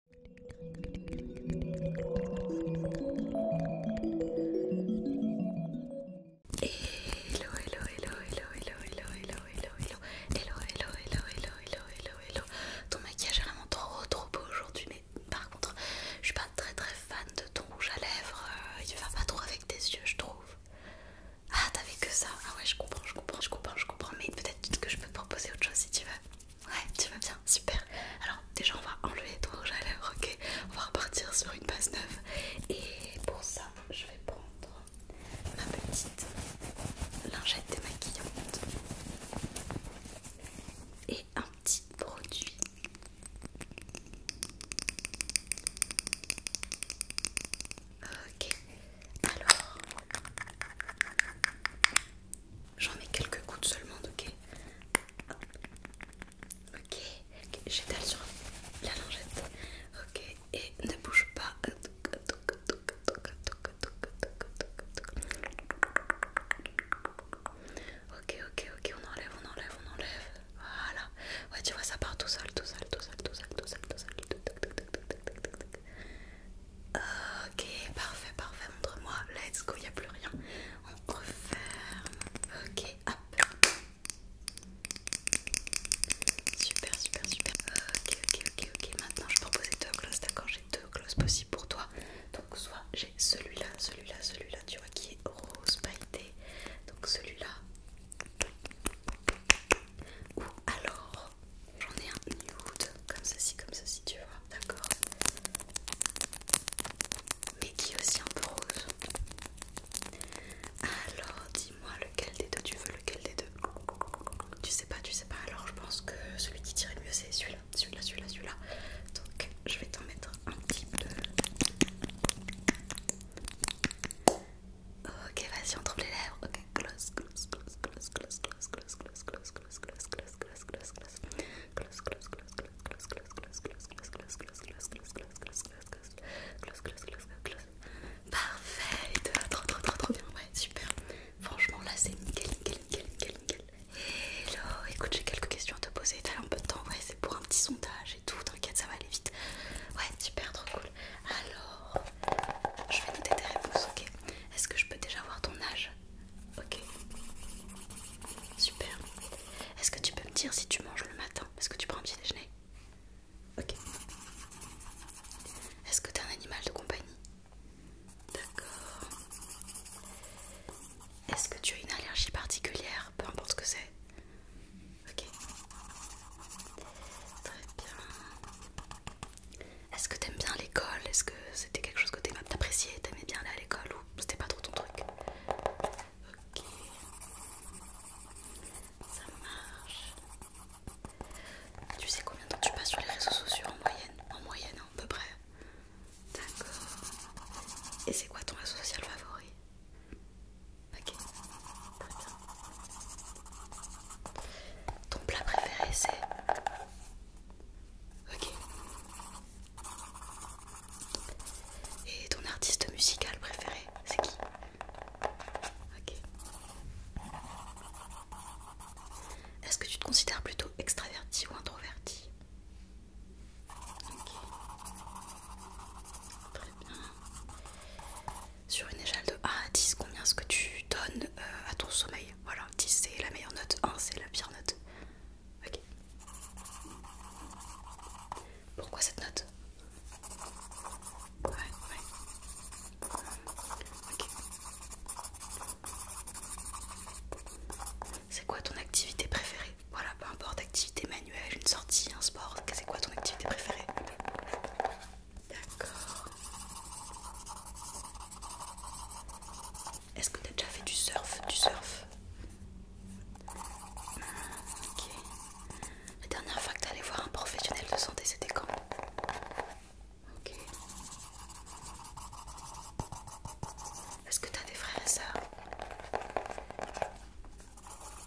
Hello, hello, hello, hello, hello, hello, hello, hello, hello, hello, hello, hello, hello, hello, hello, Ton maquillage est vraiment trop, trop beau aujourd'hui, mais par contre, je suis pas très, très fan de ton rouge à lèvres. Il va pas trop avec tes yeux, je trouve. Ah, t'avais que ça. Ah ouais, je comprends, je comprends, je comprends, je comprends. Mais peut-être que je peux te proposer autre chose si tu veux. Ouais, tu vas bien, super. Alors, déjà, on va enlever ton rouge à lèvres, ok On va repartir sur une base neuve. Et pour ça, je vais prendre ma petite lingette démaquillante et un petit produit. Ok, alors J'en mets quelques gouttes seulement, ok Ok, j'étale sur la langette, Ok, et ne bouge pas. Ok, ok, ok, on enlève, on enlève, on enlève. Voilà. Ouais, tu vois, ça part tout seul, tout seul, tout seul, tout seul, tout seul, tout seul. Ok, parfait, parfait, montre-moi. Let's go, il a plus rien. On referme. Ok, hop. Super, super, super. Ok, ok, ok, ok. Maintenant, je propose deux glosses, d'accord J'ai deux glosses possibles pour toi. Donc, soit j'ai celui-là, celui-là, celui-là, tu vois, qui est rose pailleté. Donc, celui-là. Ou alors J'en ai un nude, comme ceci, comme ceci, tu vois, d'accord Mais qui est aussi un peu rose. Alors, dis-moi lequel des deux tu veux, lequel des deux Tu sais pas, tu sais pas, alors je pense que celui qui t'irait le mieux c'est celui-là, celui-là, celui-là, celui-là. Donc, je vais t'en mettre un petit peu. Ok, vas-y, on trouve les lèvres. Ok, close, close, close, close, close, close, close, close, close, trop, trop, trop, bien, ouais, super. Franchement, là, c'est nickel, nickel, nickel, nickel, nickel. Hello, écoute, j'ai quelques questions à te poser. T'as un peu de temps, ouais, c'est pour un petit sondage et tout. T'inquiète, ça va aller vite. Ouais, super, trop cool. Alors, je vais noter tes réponses, ok Est-ce que je peux déjà voir ton âge Ok. Super. Est-ce que tu peux me dire si tu manges le matin Est-ce que tu prends un petit déjeuner Ok. Est-ce que tu es un animal de compagnie D'accord. Est-ce que tu as une allergie particulière Peu importe ce que c'est. Ok. Très bien. Est-ce que t'aimes bien l'école Est-ce que c'était quelque chose que t'appréciais T'aimais bien aller à l'école ou c'était pas trop ton truc Ok. Ça marche. Tu sais combien de temps tu passes sur les réseaux sociaux en moyenne En moyenne, hein, à peu près. D'accord. Et c'est quoi ton réseau social favori Ok, Ton plat préféré c'est Ok. Et ton artiste musical préféré, c'est qui Ok. Est-ce que tu te considères plutôt extraverti ou introverti Ok. Très bien. Sur une échelle de 1 à 10, combien est-ce que tu donnes euh, à ton sommeil voilà, 10 c'est la meilleure note, 1 c'est la pire note. Ok. Pourquoi cette note Ouais, ouais. Ok. C'est quoi ton activité préférée Voilà, peu importe, activité manuelle, une sortie, un sport, c'est quoi ton activité préférée D'accord. Est-ce que tu as déjà fait du surf Du surf hmm, Ok. La dernière fois que tu allé voir un professionnel de santé, c'était quand Ok. Est-ce que tu as des frères et sœurs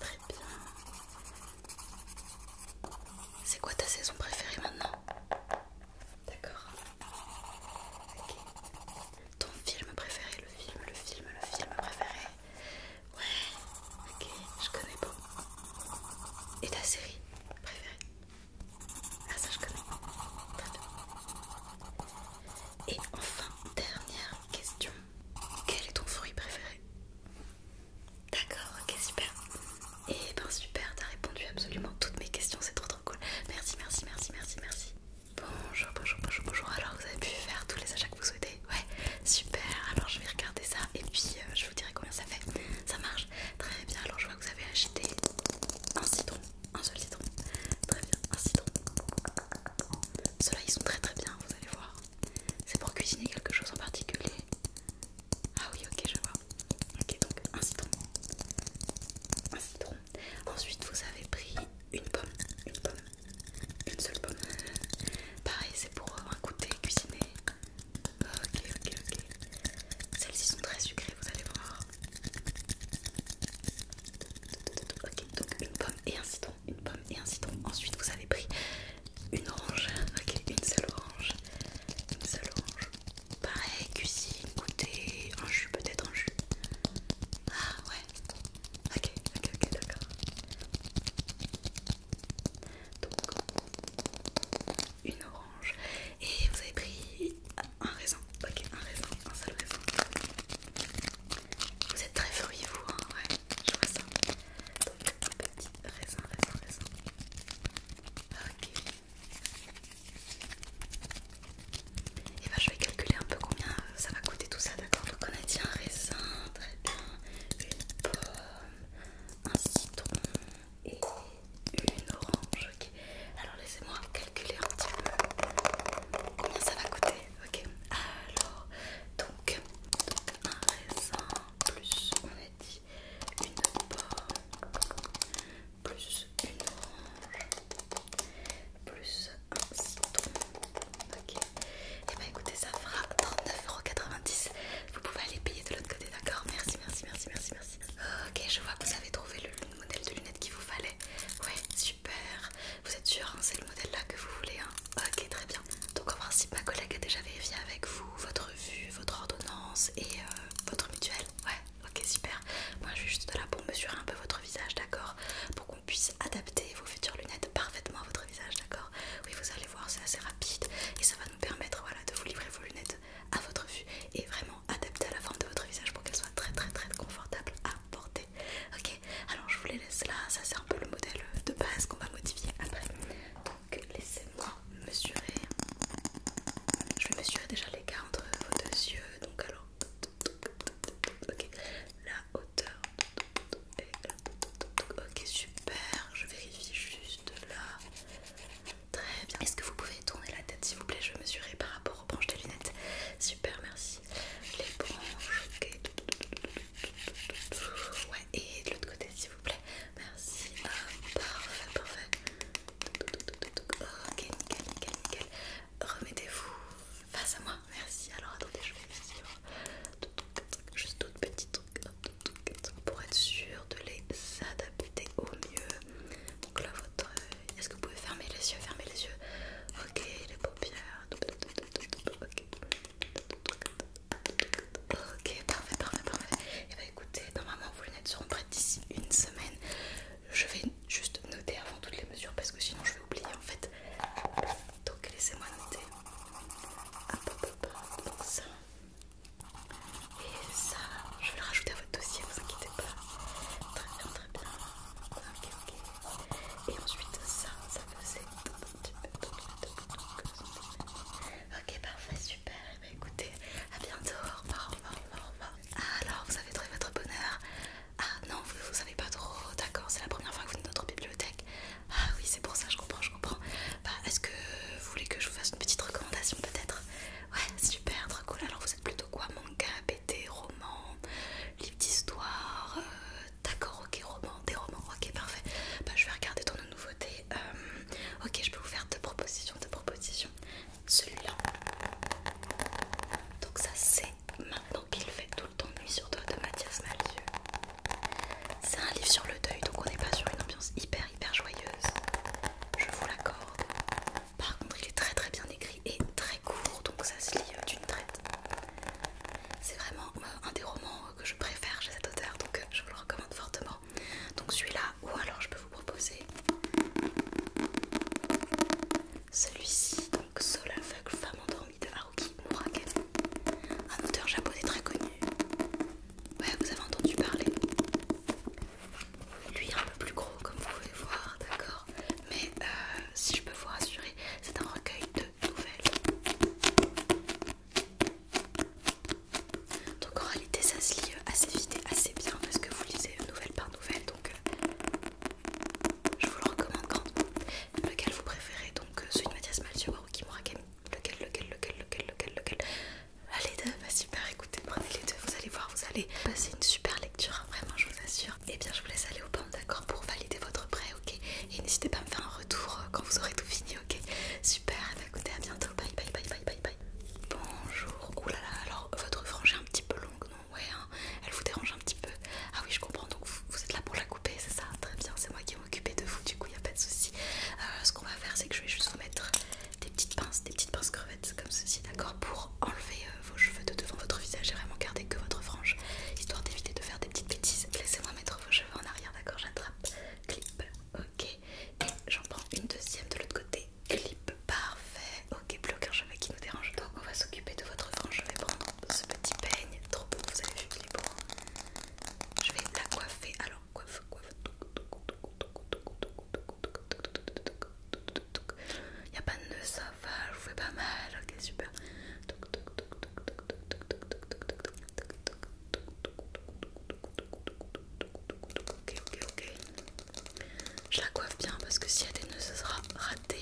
Très bien. C'est quoi ta saison préférée maintenant D'accord ok, Ton film préféré, le film, le film, le film préféré Ouais, ok, je connais pas. Et ta série préférée Ah ça je connais. Très Et enfin, dernière question. Quel est ton fruit préféré D'accord, ok, super. Et eh ben super, t'as répondu absolument toutes mes questions, c'est trop trop cool. Merci, merci, merci, merci, merci. Bonjour, bonjour, bonjour, bonjour. Alors vous avez pu faire tous les achats que vous souhaitez Ouais, super. Alors je vais regarder ça et puis euh, je vous dirai combien ça fait. Ça marche Très bien, alors je vois que vous avez acheté un citron, un seul citron. Très bien, un citron. Ceux-là ils sont très très bien, vous allez voir. C'est pour cuisiner quelque chose en particulier. Ah oui, ok, je vois. Ok, donc un citron. Un citron. Ensuite, vous avez pris une pomme. Une pomme. Une seule pomme. Pareil, c'est pour un euh, goûter cuisiné. Ok, ok, ok. Celles-ci sont très sucrées, vous allez voir. Ok, donc une pomme et un citron. Une pomme et un citron. Ensuite, vous avez pris une orange. Ok, une seule orange. Une seule orange. Pareil, cuisine, goûter, un jus peut-être, un jus. Ah ouais. Ok, ok, ok, d'accord. Donc, une orange. Et vous avez pris un raisin. Ok, un raisin, un seul raisin. Vous êtes très furieux vous, hein, ouais. Je vois ça. Donc, un petit raisin, raisin, raisin. Ok. Et eh ben, je vais calculer un peu combien euh, ça va coûter tout ça, d'accord Donc on a dit un raisin, très bien, une pomme, un citron et une orange. Ok. Alors laissez-moi calculer un petit peu combien ça va coûter. Ok. Alors donc un raisin plus on a dit une pomme, plus une orange, plus un citron. Ok. Et eh bah ben, écoutez, ça fera 39,90€. Vous pouvez aller payer de l'autre côté, d'accord Merci, merci, merci, merci, merci. Ok, je vois que vous avez trouvé le modèle de lunettes qu'il vous fallait. Ouais, super. Vous êtes sûr, hein, c'est le modèle là que vous voulez. Hein ok, très bien. Donc en principe, ma collègue a déjà vérifié avec vous votre votre vue, votre ordonnance et euh, votre mutuelle. Ouais, ok, super. Moi, je suis juste là pour mesurer un peu votre visage, d'accord Pour qu'on puisse adapter vos futures lunettes parfaitement à votre visage, d'accord Oui, vous allez voir, c'est assez rapide et ça va nous permettre voilà, de vous livrer vos lunettes à votre vue et vraiment adaptées à la forme de votre visage pour qu'elles soient très, très, très confortables à porter. Ok, alors je vous les laisse là. Ça, c'est un peu le modèle de base qu'on va modifier après. Donc laissez-moi mesurer. Je vais mesurer déjà l'écart entre vos deux yeux. Donc alors, la hauteur Ok, super. Je vérifie juste là. Très bien. Est-ce que vous pouvez tourner la tête s'il vous plaît Je vais mesurer par rapport aux branches des lunettes. Super, merci. Les branches, ok. Ouais, et de l'autre côté s'il vous plaît. Merci. parfait, parfait. Ok, nickel, nickel, nickel. Remettez-vous face à moi. Merci. Alors attendez, je vais essayer. Juste d'autres petites pour être sûr de les adapter au mieux. Donc là, votre. Est-ce que vous pouvez fermer les yeux Fermer les yeux. Ok, les paupières. Ok, parfait, parfait, parfait. Et eh bah ben, écoutez, normalement vos lunettes seront prêtes d'ici une semaine. Je vais juste noter avant toutes les mesures parce que sinon je vais oublier en fait. Donc laissez-moi noter. Hop, peu hop. Donc ça. Et ça, je vais le rajouter à votre dossier, ne vous inquiétez pas. Très bien, très bien. Ok, ok. Et ensuite ça, ça faisait. petit peu Ok, parfait, super bah écoutez, à bientôt, alors, vous avez trouvé votre bonheur Ah non, vous savez pas trop, d'accord, c'est la première fois que vous venez de notre bibliothèque. Ah oui, c'est pour ça, je comprends, je comprends. Bah, est-ce que vous voulez que je vous fasse une petite recommandation peut-être Ouais, super, trop cool. Alors, vous êtes plutôt quoi Manga, BD, roman, livre d'histoire euh, D'accord, ok, roman, des romans, ok, parfait. Bah, je vais regarder ton nouveauté. nouveautés. Euh, Ok, je peux vous faire deux propositions, deux propositions. Celui-là. Donc ça c'est maintenant qu'il fait tout le temps nuit sur toi de Mathias Malzieu. C'est un livre sur le deuil, donc on n'est pas sur une ambiance hyper hyper joyeuse. Je vous l'accorde. Par contre, il est très très bien écrit et très court, donc ça se lit euh, d'une traite. C'est vraiment euh, un des romans euh, que je préfère chez cet auteur, donc je vous le recommande fortement. Donc celui-là, ou alors je peux vous proposer celui-ci, donc Soul aveugle, Femme endormie de Haruki Murakami, un auteur japonais très connu. Ouais, vous avez entendu parler. Lui est un peu plus gros, comme vous pouvez voir, d'accord. Mais euh, si je peux vous rassurer, c'est un recueil de nouvelles. Donc en réalité ça se lit euh, assez vite et assez bien parce que vous lisez nouvelle par nouvelle donc euh, je vous le recommande Lequel vous préférez donc euh, celui de Mathias ou qui Murakami Lequel, lequel, lequel, lequel, lequel, lequel Allez deux, bah super, écoutez, prenez les deux, vous allez voir, vous allez passer une super lecture, vraiment je vous assure. Et eh bien je vous laisse aller au banc d'accord pour valider votre prêt, ok Et n'hésitez pas à me faire un retour quand vous aurez tout fini, ok Super, bah, écoutez, à bientôt. Bye bye bye bye bye bye. Bonjour. Oulala, oh alors votre frange est un petit peu longue, non Ouais, hein. elle vous dérange un petit peu. Ah oui, je comprends. Donc vous, êtes là pour la couper, c'est ça Très bien, c'est moi qui m'occuper de vous, du coup, il n'y a pas de souci. Euh, ce qu'on va faire, c'est que je vais juste vous mettre des petites pinces, des petites pinces crevettes comme ceci, d'accord Pour enlever euh, vos cheveux de devant votre visage et vraiment garder que votre frange, histoire d'éviter de faire des petites bêtises. Laissez-moi mettre vos cheveux en arrière, d'accord J'attrape, clip, ok. Et j'en prends une deuxième de l'autre côté clip parfait ok plus aucun cheveu qui nous dérange donc on va s'occuper de votre frange je vais prendre ce petit peigne trop beau vous avez vu Clip hein. je vais la coiffer alors coiffe coiffe il n'y a pas de toc ça va, je vous fais pas mal, ok super. Ok, ok, ok. Je la coiffe bien parce que s'il elle a des sera raté.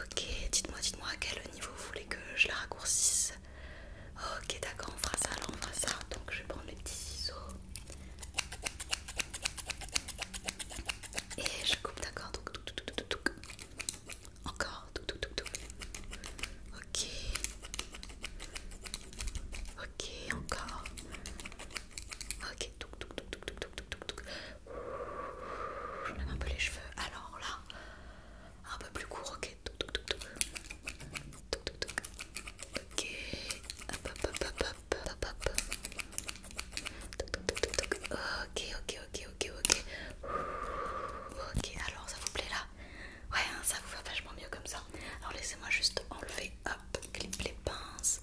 Ok, dites-moi, dites-moi à quel niveau vous voulez que je la raccourcisse. Ok, d'accord, on fera ça, alors on fera ça. Donc je vais prendre les petits ciseaux. Et je coupe, d'accord. Donc, donc. Encore, tout, tout, tout, Ok. Ok, encore. Ok, tout, tout, tout, tout, tout, tout, Je lève un peu les cheveux. Alors là, un peu plus court. Ok, tout, tout, tout, tout. Tout, Ok. Hop, hop, hop, hop, hop, hop, Ok, ok, ok, ok, ok. Ok, alors ça vous plaît là Ouais, hein, ça vous va vachement mieux comme ça. Alors laissez-moi juste enlever, hop, clip les pinces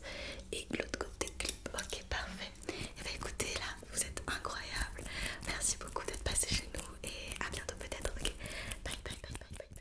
et l'autre côté clip. Ok, parfait. Et eh bah ben, écoutez, là, vous êtes incroyable. Merci beaucoup d'être passé chez nous et à bientôt peut-être. Ok, bye.